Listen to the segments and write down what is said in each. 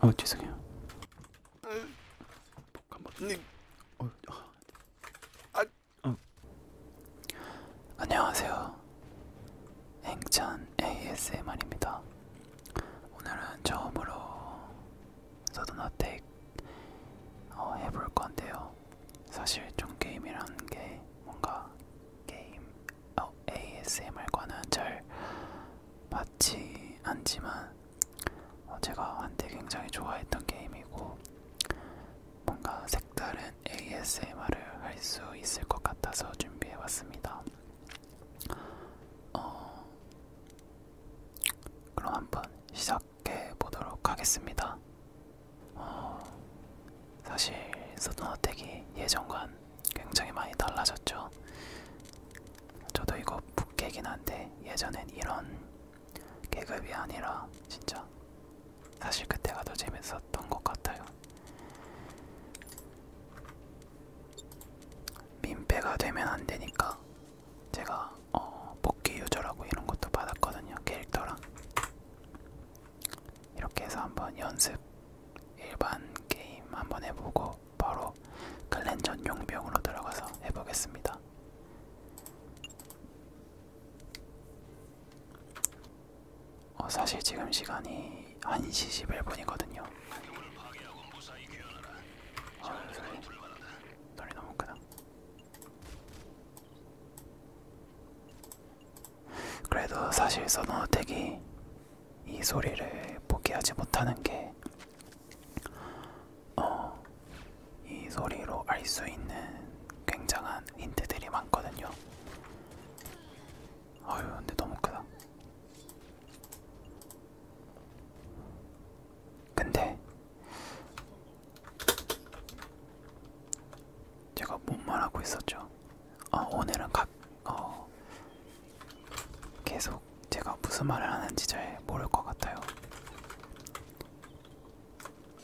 아 어, 죄송해요. 네. 어, 아. 아. 어. 안녕하세요. 행찬 ASMR입니다. 오늘은 처음으로 서든어택 어, 해볼 건데요. 사실 좀 게임이라는 게 뭔가 게임 어, ASMR과는 잘 맞지 않지만 어, 제가 한때 굉장히 좋아했던 게임이고 뭔가 색다른 ASMR을 할 수 있을 것 같아서 준비해봤습니다. 어, 그럼 한번 시작해 보도록 하겠습니다. 어, 사실 소도어택이 예전과는 굉장히 많이 달라졌죠. 저도 이거 북개긴 한데 예전엔 이런 계급이 아니라 진짜 사실 그때가 더 재밌었던 것 같아요. 민폐가 되면 안 되니까 제가 어, 복귀 유저라고 이런 것도 받았거든요. 캐릭터랑 이렇게 해서 한번 연습 일반 게임 한번 해보고 바로 클랜 전용 병으로 들어가서 해보겠습니다. 어, 사실 지금 시간이 1시 11분이거든요. 어, 아, 소리, 소리 너무 크다. 그래도 사실 서너택이 이 소리를 포기하지 못하는 게, 어, 이 소리로 알 수 있는 굉장한 힌트들이 많거든요. 아유, 근데 너무 크다. 근데 제가 뭔 말하고 있었죠? 어, 오늘은 각, 어, 계속 제가 무슨 말을 하는지 잘 모를 것 같아요.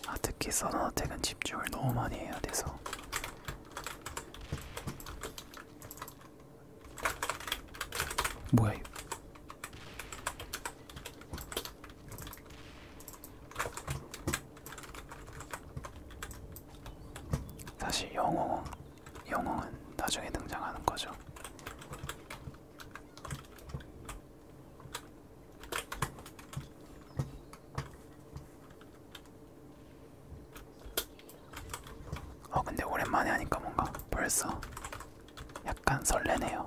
아, 특히 선호택은 집중을 너무 많이 해야 돼서. 뭐야 이거? 사실 영어 영웅은 나중에 등장하는 거죠. 어 근데 오랜만에 하니까 뭔가 벌써 약간 설레네요.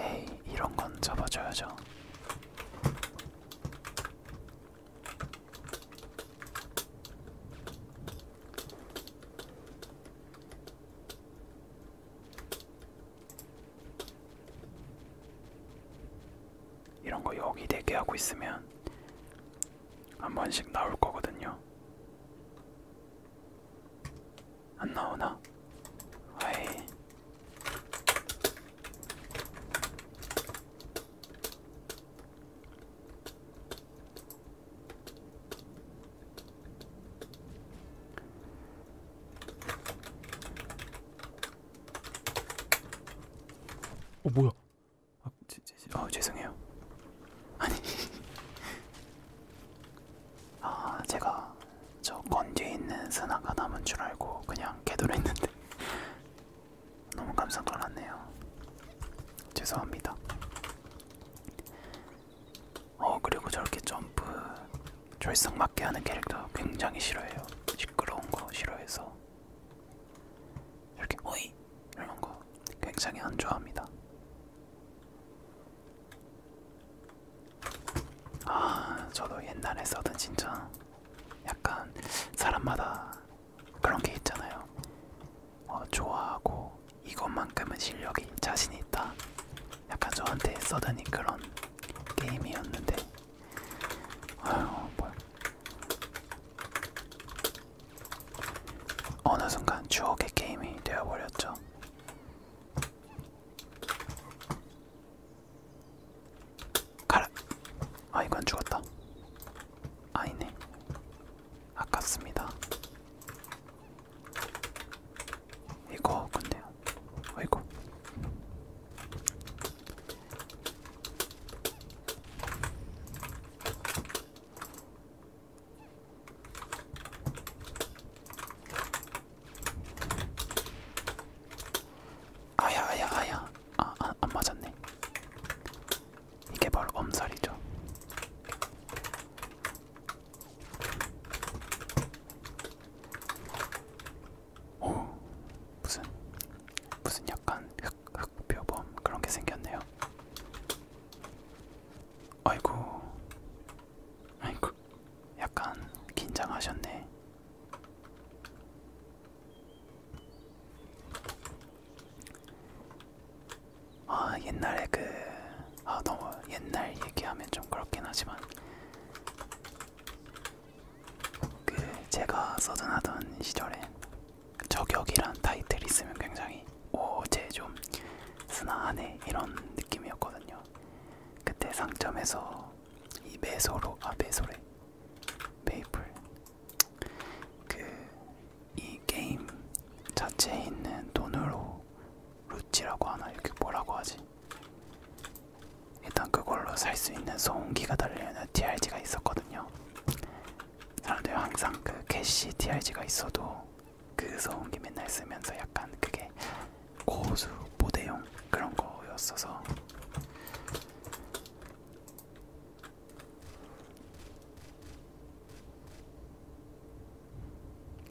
에이 이런건 잡아줘야죠 이런거 여기 대기 하고 있으면 한 번씩 나올 거거든요. 안 나오나? 아이. 어 뭐야? 아, 제, 제, 제, 어 죄송해요. 아니 아 제가 저 건뒤에 있는 스나가 남은 줄 알고 그냥 개도를 했는데 너무 깜짝 놀랐네요. 죄송합니다. 어 그리고 저렇게 점프 조이성 맞게 하는 캐릭터 굉장히 싫어해요. 시끄러운 거 싫어해서 이렇게 오이 이런 거 굉장히 안 좋아합니다. 아 저도 옛날에 써던 진짜 약간 사람마다 그런 게 있잖아요. 어, 좋아하고 이것만큼은 실력이 자신이 있다. 약간 저한테 써드니 그런 게임이었는데 아유 뭐 어느 순간 추억의 게임이 되어버렸죠. 가라. 아 이건 죽었다. 아니네. 아깝습니다. 이거 근데요. 아이고. 어, 아야 아야 아야 아, 안, 아, 안 맞았네 이게 바로 엄살이죠 오 무슨 무슨 약간 흑흑표범 그런게 생겼네요 아이고 아이고 약간 긴장하셨네 아 옛날에 그 아 너무 옛날 얘기하면 좀 그렇긴 하지만 그 제가 서든하던 시절에 저격이란 타이틀 있으면 굉장히 오제 좀 스나하네 이런 느낌이었거든요. 그때 상점에서 이 메소로 아 메소래 메이플 그 이 게임 자체에 있는 돈으로 루치라고 하나 이렇게 뭐라고 하지? 일단 그걸로 살 수 있는 소음기가 달려있는 DRG가 있었거든요. 사람들이 항상 그 캐시 DRG가 있어도 그 소음기 맨날 쓰면서 약간 그게 고수 모대용 그런 거였어서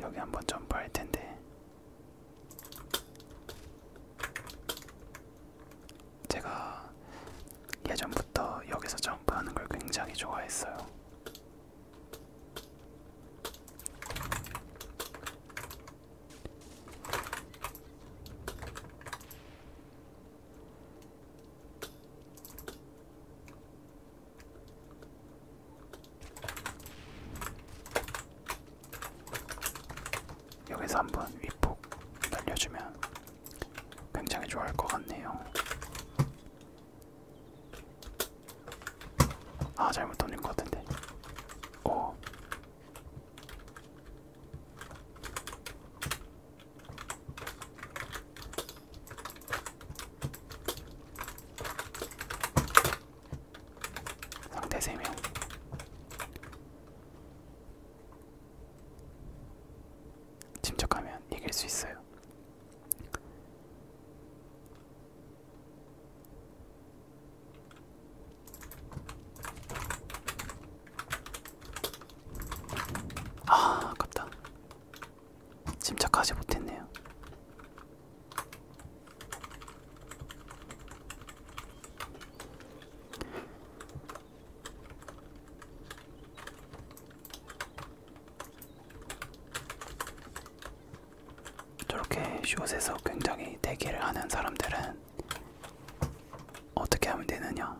여기 한번 점프할 텐데 제가 예전부터 여기서 점프하는 걸 굉장히 좋아했어요. 여기서 한번 윗폭 날려주면 굉장히 좋아할 것 같네요. 아 잘못 돌린 것 같은데. 오 상대 3명 침착하면 이길 수 있어요. 아, 아깝다. 침착하지 못했네요. 저렇게 숏에서 굉장히 대기를 하는 사람들은 어떻게 하면 되느냐?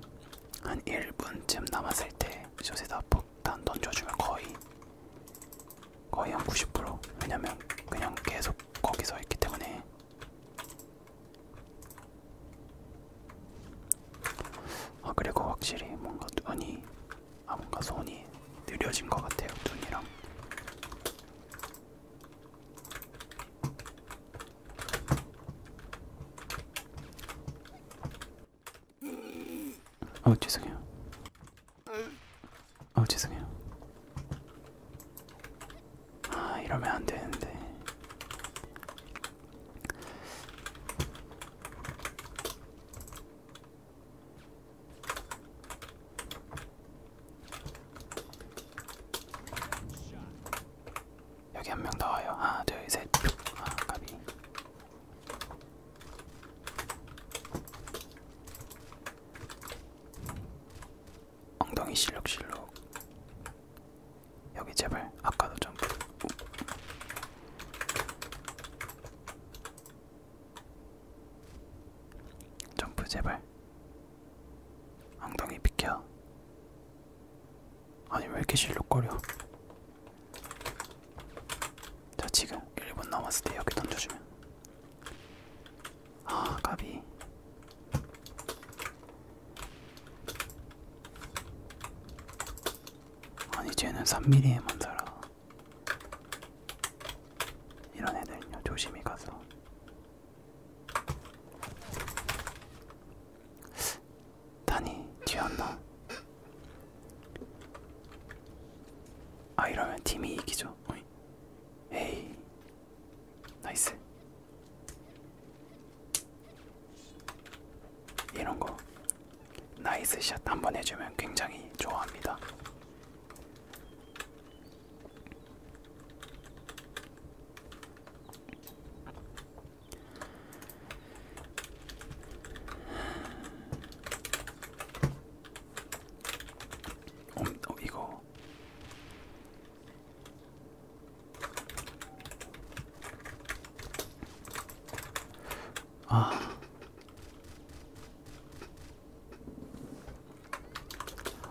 한 1분쯤 남았을 때 숏에다 폭탄 던져주면 거의 거의 한90% 왜냐면 그냥 계속 거기서 있기 때문에 아 그리고 확실히 뭔가 눈이 아 뭔가 손이 느려진 것 같아요 눈이랑 아 죄송해요. 아 죄송해요. 아 이러면 안 되는데. 여기 한명 나와요. 하나, 둘, 셋. 아, 가비. 엉덩이 실룩실룩. 여기 제발 아까도 좀. 점프 제발 엉덩이 비켜. 아니 왜 이렇게 실룩거려? 자 지금 1분 남았을 때 여기 던져주면. 아 까비. 아니 쟤는 3mm에만 살아. 이런 애들은요 조심히 가서 단이 뒤였나? 아 이러면 팀이 이기죠. 에이 나이스. 이런 거 나이스 샷한번 해주면 굉장히 좋아합니다. 어, 어, 이거 아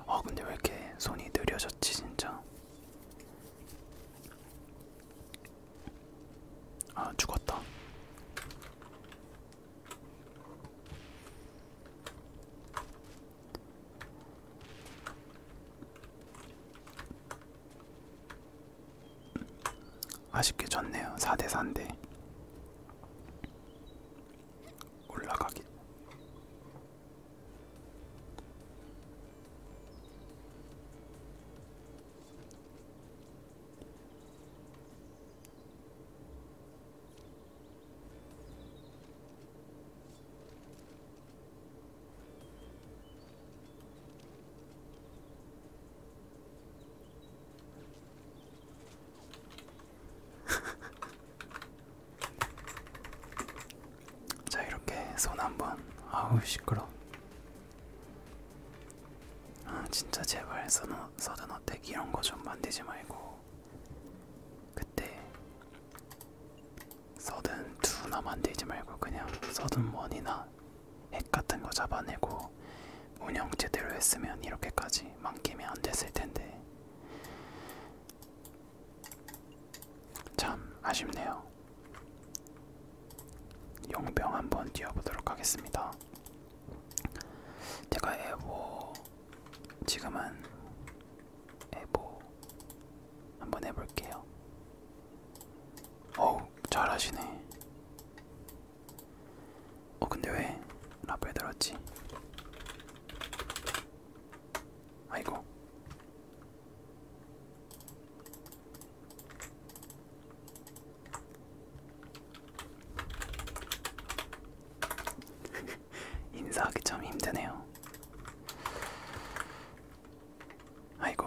아 근데 왜 이렇게 손이 느려졌지 진짜 아 죽었다 아쉽게 졌네요 4대 4인데 올라가기. 자 이렇게 손 한번 아우 시끄러 아 진짜 제발 서든어택 이런거 좀 만들지 말고 그때 서든 2나 만들지 말고 그냥 서든 1이나 핵 같은 거 잡아내고 운영 제대로 했으면 이렇게까지 망김이 안 됐을 텐데 참 아쉽네요. 용병 한번 뛰어보도록 하겠습니다. 제가 에보 지금은 에보 한번 해볼게요. 어우 잘하시네. 어 근데 왜 라벨 들었지? 아이고. 인사하기 참 힘드네요. 아이고.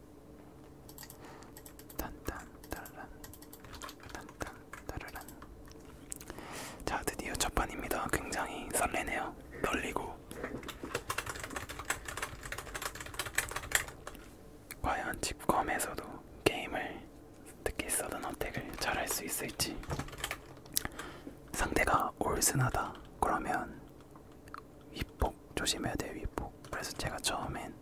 단단 따라란 단단 따라란 자 드디어 첫 판입니다. 굉장히 설레네요. 떨리고 과연 집검에서도 게임을 특히 서든 어택을 잘할 수 있을지 상대가 올슨하다 그러면 위폭 조심해야 돼요 위폭 그래서 제가 처음엔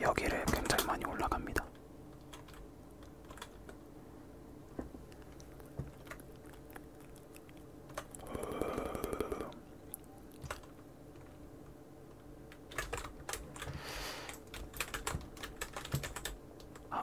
여기를 굉장히 많이 올라갑니다. 아.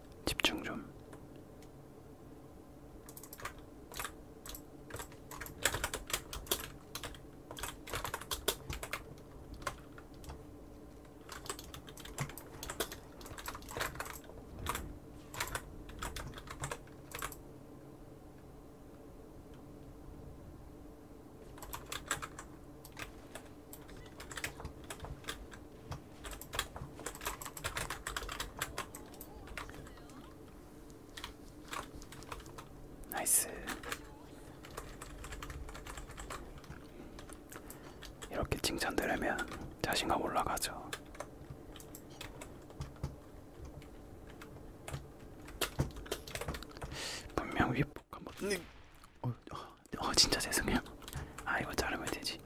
집중 좀. 나이스. 이렇게 칭찬들으면 자신감 올라가죠. 분명 윗복 한번. 네. 어, 어 진짜 죄송해요. 아 이거 자르면 되지.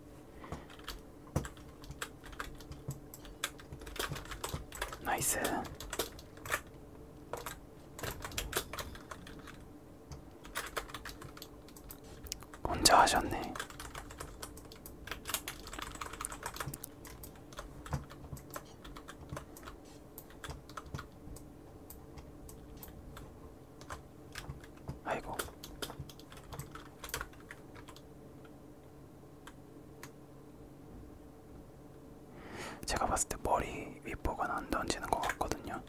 나이스. 혼자 하셨네. 아이고. 제가 봤을 때 머리 윗부분 안 던지는 것 같거든요.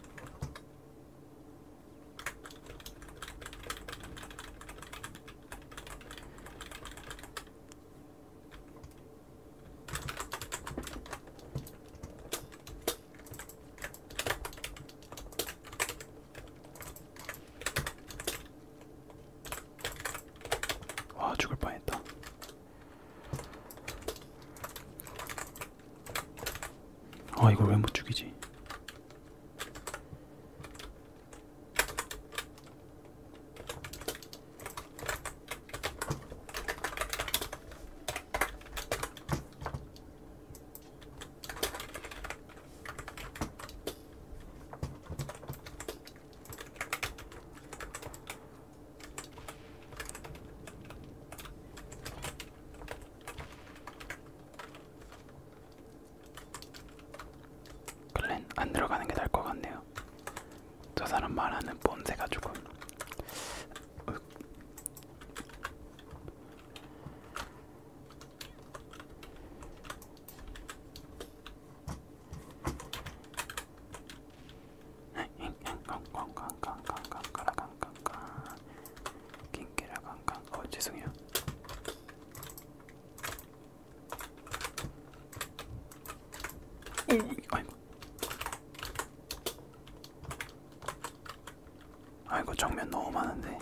와 죽을 뻔했다. 아 이걸 왜못 죽이지? 글렌 안 들어가는 게 나을 것 같네요. 저 사람 말하는 뽐새가 조금 어 죄송해요. 오, 아이고. 아이고 정면 너무 많은데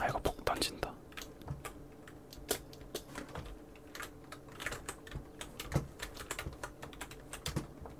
아이고 폭 던진다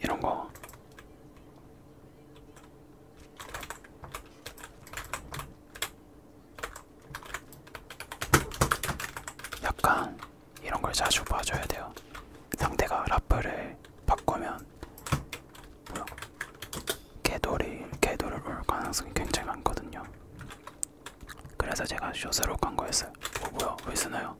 이런 거 약간 이런 걸 자주 봐줘야 돼요. 상대가 라프를 바꾸면 개돌이 개돌을 올 가능성이 굉장히 많거든요. 그래서 제가 쇼스로 간 거였어요. 어, 뭐야? 왜 쓰나요?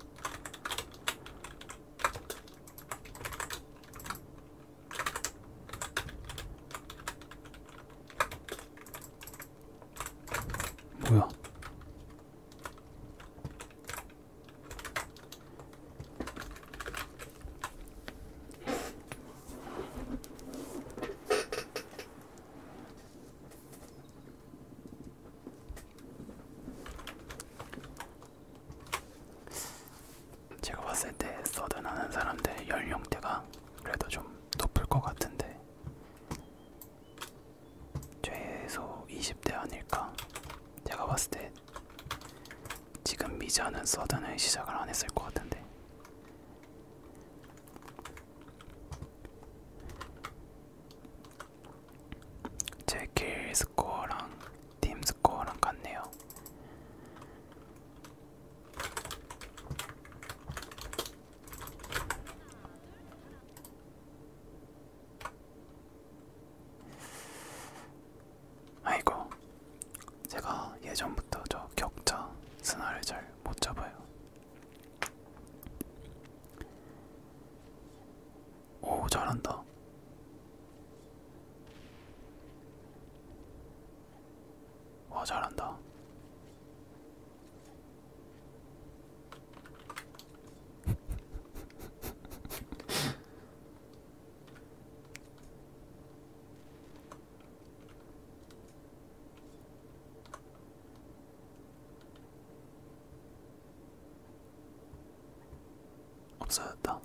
뭐야? 제가 봤을 때 서든 하는 사람들 연령대가 그래도 좀 높을 것 같은데 최소 20대 아닐까? 제가 봤을 때 지금 미자는 서든을 시작을 안 했을 것 같은데. 제 킬 스코어랑 팀 스코어랑 같네요. 아이고 제가 예전부터 저 격자 스나를 잘 못 잡아요. 오 잘한다. 와 잘한다. 없어졌다.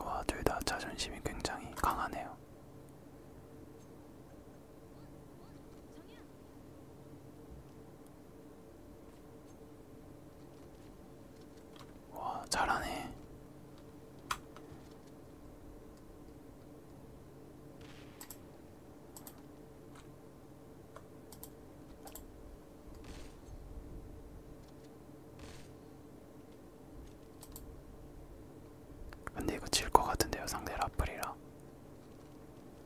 와, 둘 다 자존심이 굉장히 강하네요. 와 잘하네. 근데 이거 질 것 같은데요 상대 라플이라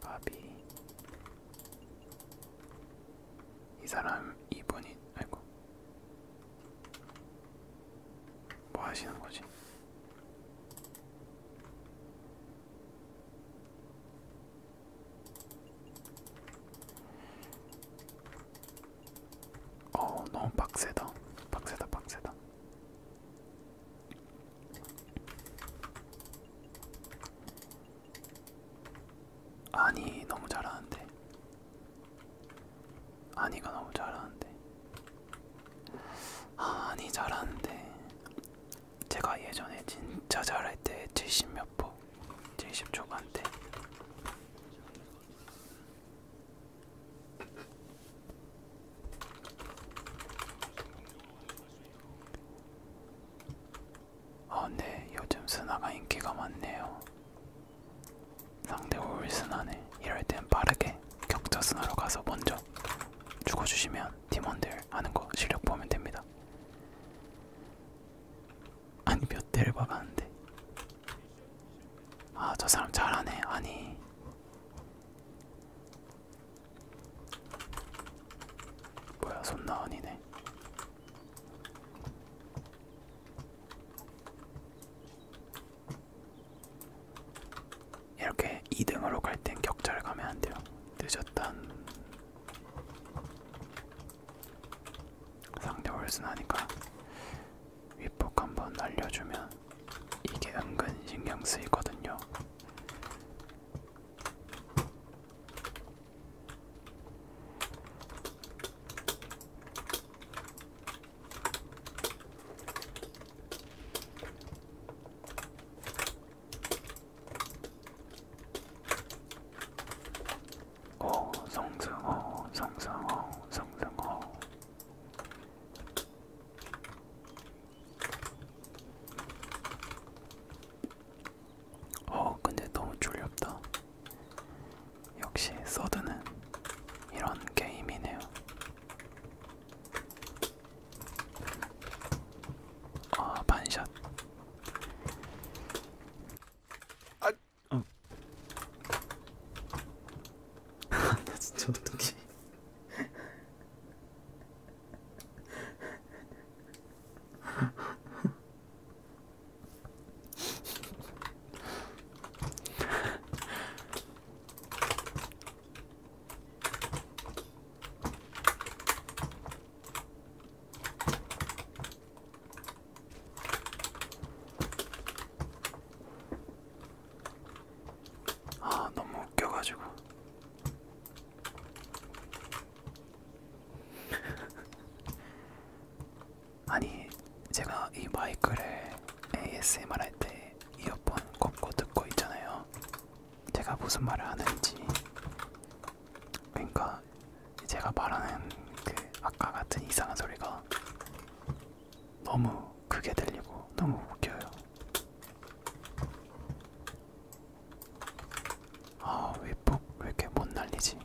바비 이 사람 이분이 아이고 뭐 하시는 거지? 어 너무 빡세다 빡세다 빡세다 아니 너무 잘하는데 아니가 너무 잘하는데 아니 잘하는데 제가 예전에 진짜 잘할 때 70몇 보70 초반 때 아, 근데 요즘 스나가 인기가 많네요. 상대 올 스나네. 이럴 땐 빠르게 격자 스나로 가서 먼저 죽어주시면 팀원들 하는 거 실력 보면 됩니다. 아니 몇 대를 박았는데 아 저 사람 잘하네 아니 뭐야 손나은이네 이렇게 2등으로 갈 땐 격차를 가면 안돼요 늦었단 상대 월순하니까 윗폭 한번 날려주면 이게 은근 신경 쓰이거든요. 어, 성승어, 성승어, 성승어. 어, 근데 너무 졸렸다. 역시 서드는 이런 게임이네요. 아, 반샷. 아. 어. 진짜 어떡해. 아, 너무 웃겨가지고. 아니, 제가 이 마이크를 ASMR 할 때 이어폰 꽂고 듣고 있잖아요. 제가 무슨 말을 하는지 그러니까 제가 말하는 그 아까 같은 이상한 소리가 너무 크게 들리고 너무 웃겨요. 아, 왜폭왜 이렇게 못 날리지?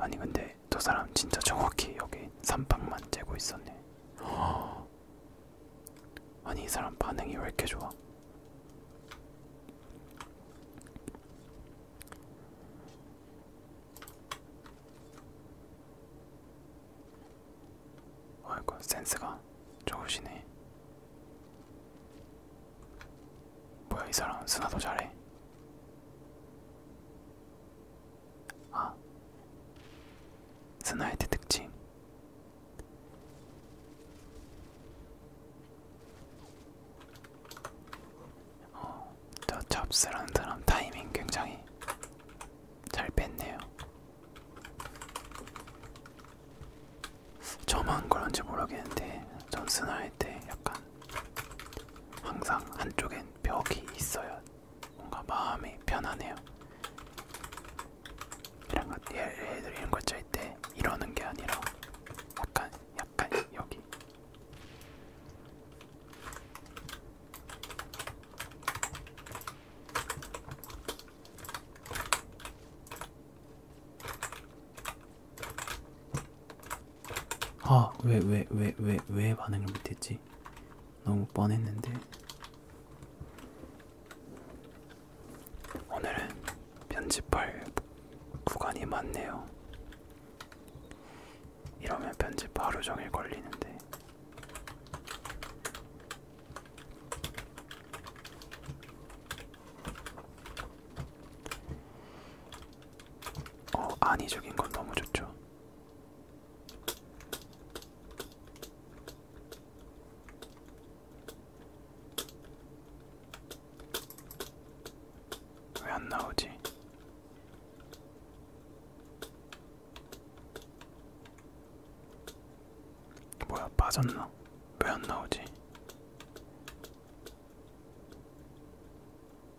아니 근데 저 사람 진짜 정확히 여기 삼박만 재고 있었네. 허... 아니 이 사람 반응이 왜 이렇게 좋아? 아이고 센스가 좋으시네. 뭐야 이 사람 수나도 잘해. あ繋いで特徴저 아, 어, 잡스라는 사람 타이밍 굉장히 잘 뺐네요. 저만 그런지 모르겠는데 전 스나일 때 약간 항상 한쪽엔 벽이 있어야 뭔가 마음이 편하네요. 이런 것, 얘들 이런 걸짤때 이러는 게 아니라 약간, 약간 여기. 아, 왜, 왜, 왜, 왜, 왜 반응을 못했지? 너무 뻔했는데 오늘은 편집할 구간이 많네요. 이러면 편집 하루 종일 걸리는데 어 안이 적인 건 너무 좋죠. 왜안 나오지? 뭐야 빠졌나? 왜 안 나오지?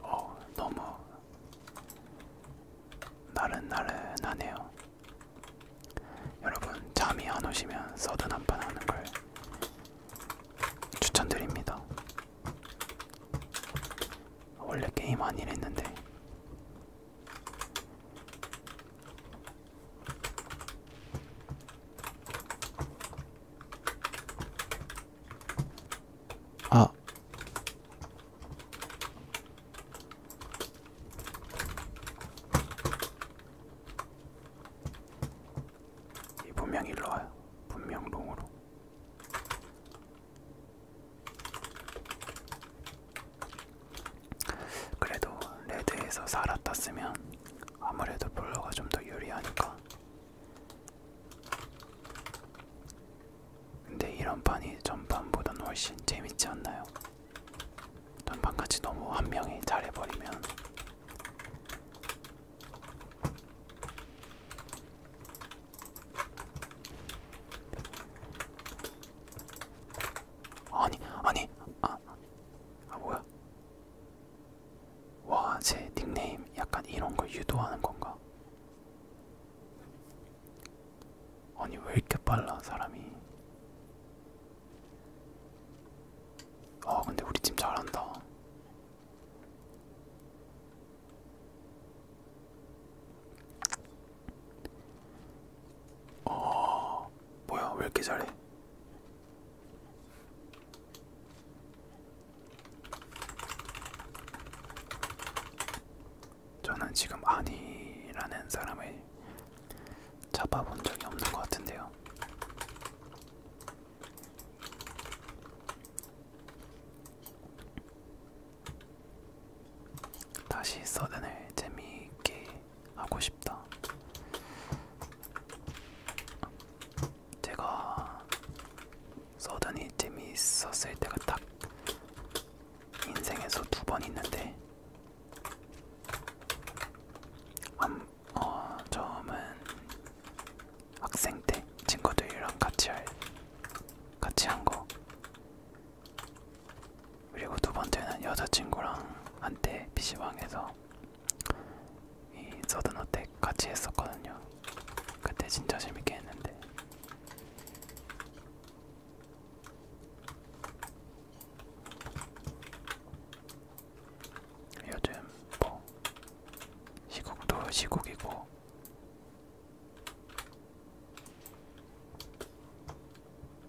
어, 너무 나른나른하네요. 여러분 잠이 안 오시면 서든 한판 하는 걸 추천드립니다. 원래 게임 안 이랬는데 아. 이 분명 일로 와요. 분명 롱으로. 그래도 레드에서 살았다 쓰면 아무래도 볼러가 좀 더 유리하니까 근데 이런 판이 전판보단 훨씬 재밌지 않나요? 전판같이 너무 한 명이 잘해버리면 아니 아니 아, 아 뭐야 와 제 닉네임 약간 이런걸 유도하는건가 아니 왜 이렇게 빨라 사람이 아 근데 우리 팀 잘한다 어 뭐야 왜 이렇게 잘해 저는 지금 아니라는 사람을 잡아본 적이 없는 것 같은데요. 다시 서든을 재미있게 하고 싶다. 제가 서든이 재미있었을 때가 딱 인생에서 두 번 있는데 한, 어, 처음은 학생 때 친구들이랑 같이 할 같이 한거 그리고 두 번째는 여자친구랑 한때 PC방에서 이 서든어택 같이 했었거든요. 그때 진짜 재밌게 했는데. 요즘 뭐 시국도 시국이고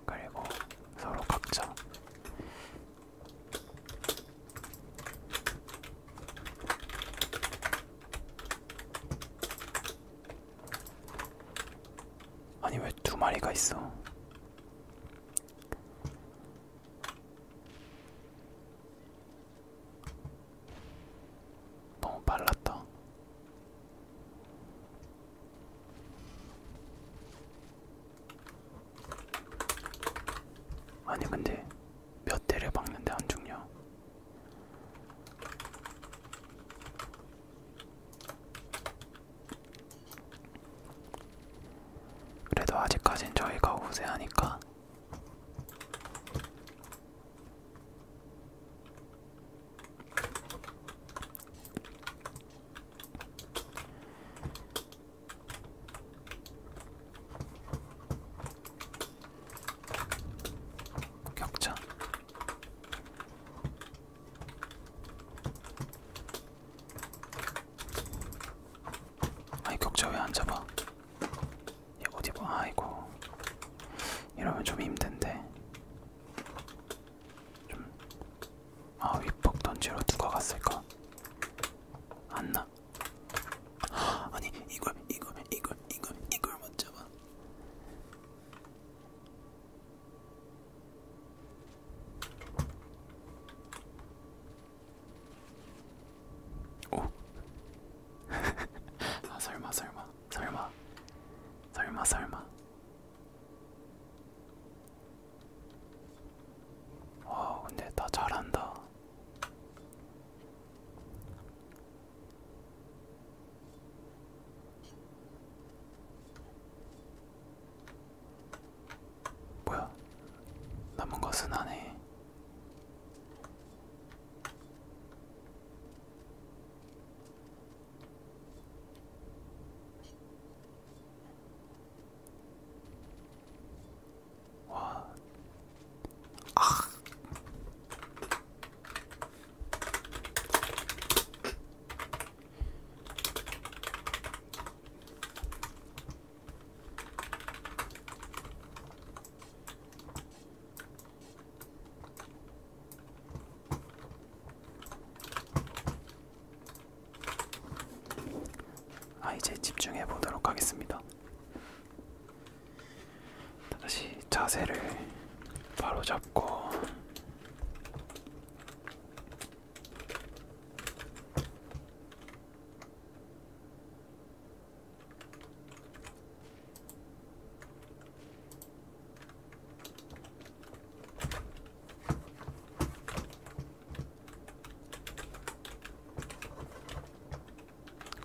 그리고 서로 각자 아니 왜 두 마리가 있어? 너무 빨랐다. 아니 근데 몇 대를 박는데 안 죽냐? 그래도 아직까진 저희가 우세하니까 격차 아이 격자 왜안 잡아? 얘 어디 봐? 아이고 이러면 좀 힘든데. 좀아 윗벅 던지러 누가 갔을까? 안나. 아니 이걸 이걸 이걸 이걸 이걸 못 잡아. 오. 아 설마 설마 설마 설마 설마. 와 근데 다 잘한다. 뭐야? 남은 것은 안 해. 와, 아, 아, 이제 집중해 보도록 하겠습니다. 다시 자세를 바로 잡고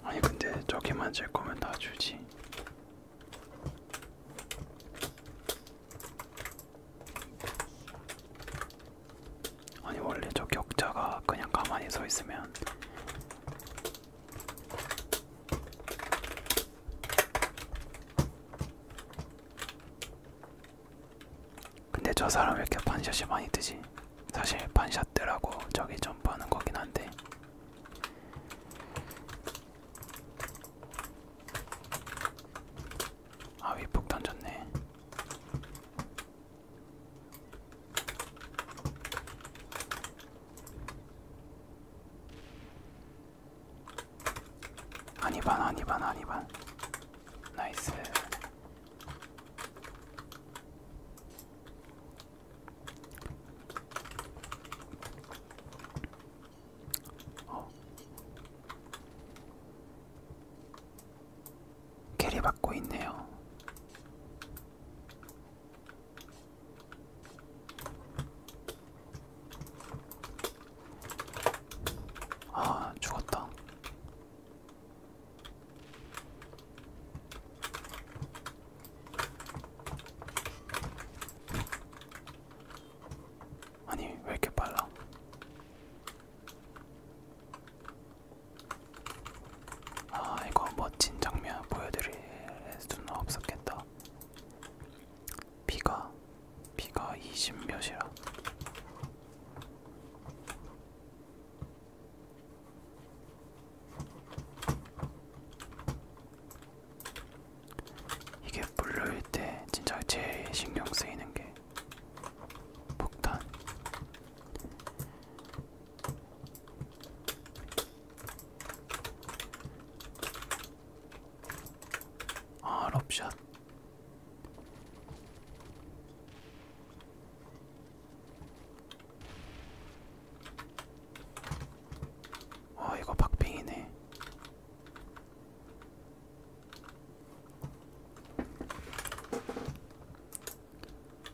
아니 근데 저기만 질 거면 다 주지. 아니 원래 저 격자가 그냥 가만히 서 있으면 근데 저 사람 왜 이렇게 반샷이 많이 뜨지? 사실 반샷 뜨라고 저기 점프하는 거긴 한데 아 위폭 던졌네. 아니반 아니반 아니반 나이스 어. 캐리 받고 있네요. 아, 죽었다. 아니 왜 이렇게 빨라? 아 이거 멋진 장면 보여드릴 수는 없었겠다. 비가 비가 20 몇이라. 이게 물류일 때 진짜 제일 신경 쓰이는 게 폭탄. 아, 럽샷. 어 이거 박빙이네.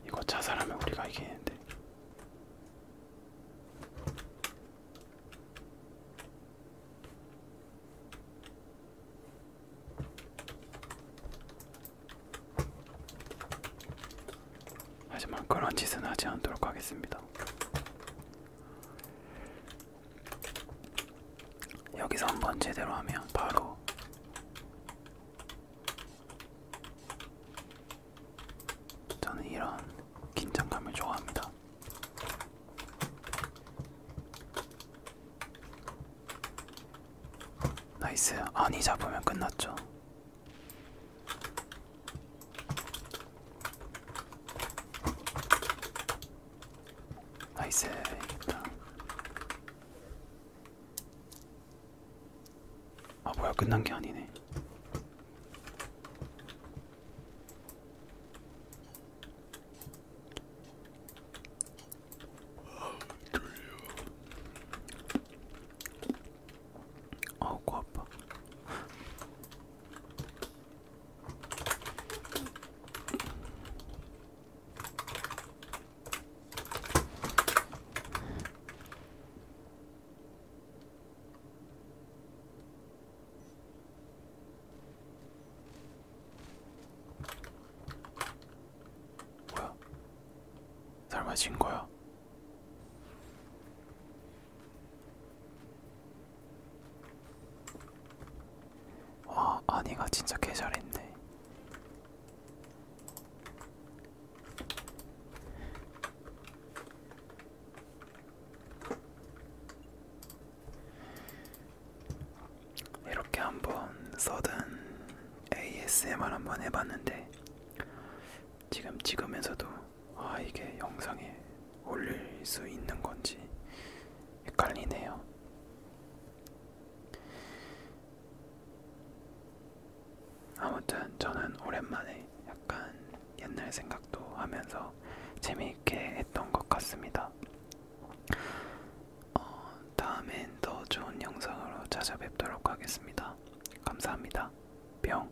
이거 자살하면 우리가 이기는데. 하지만 그런 짓은 하지 않도록 하겠습니다. 여기서 한번 제대로 하면 바로 저는 이런 긴장감을 좋아합니다. 나이스. 아니 잡으면 끝났죠. 나이스 아, 있다. 아 뭐야 끝난 게 아니네. 어우 코 아파 뭐야? 삶아진 거야? 아 아니가 진짜 개잘했네 이렇게 한번 써든 ASMR 한번 해봤는데 지금 찍으면서도 아 이게 영상에 올릴 수 있는 건지 헷갈리네요. 아무튼 저는 오랜만에 약간 옛날 생각도 하면서 재미있게 했던 것 같습니다. 어, 다음엔 더 좋은 영상으로 찾아뵙도록 하겠습니다. 감사합니다. 뿅.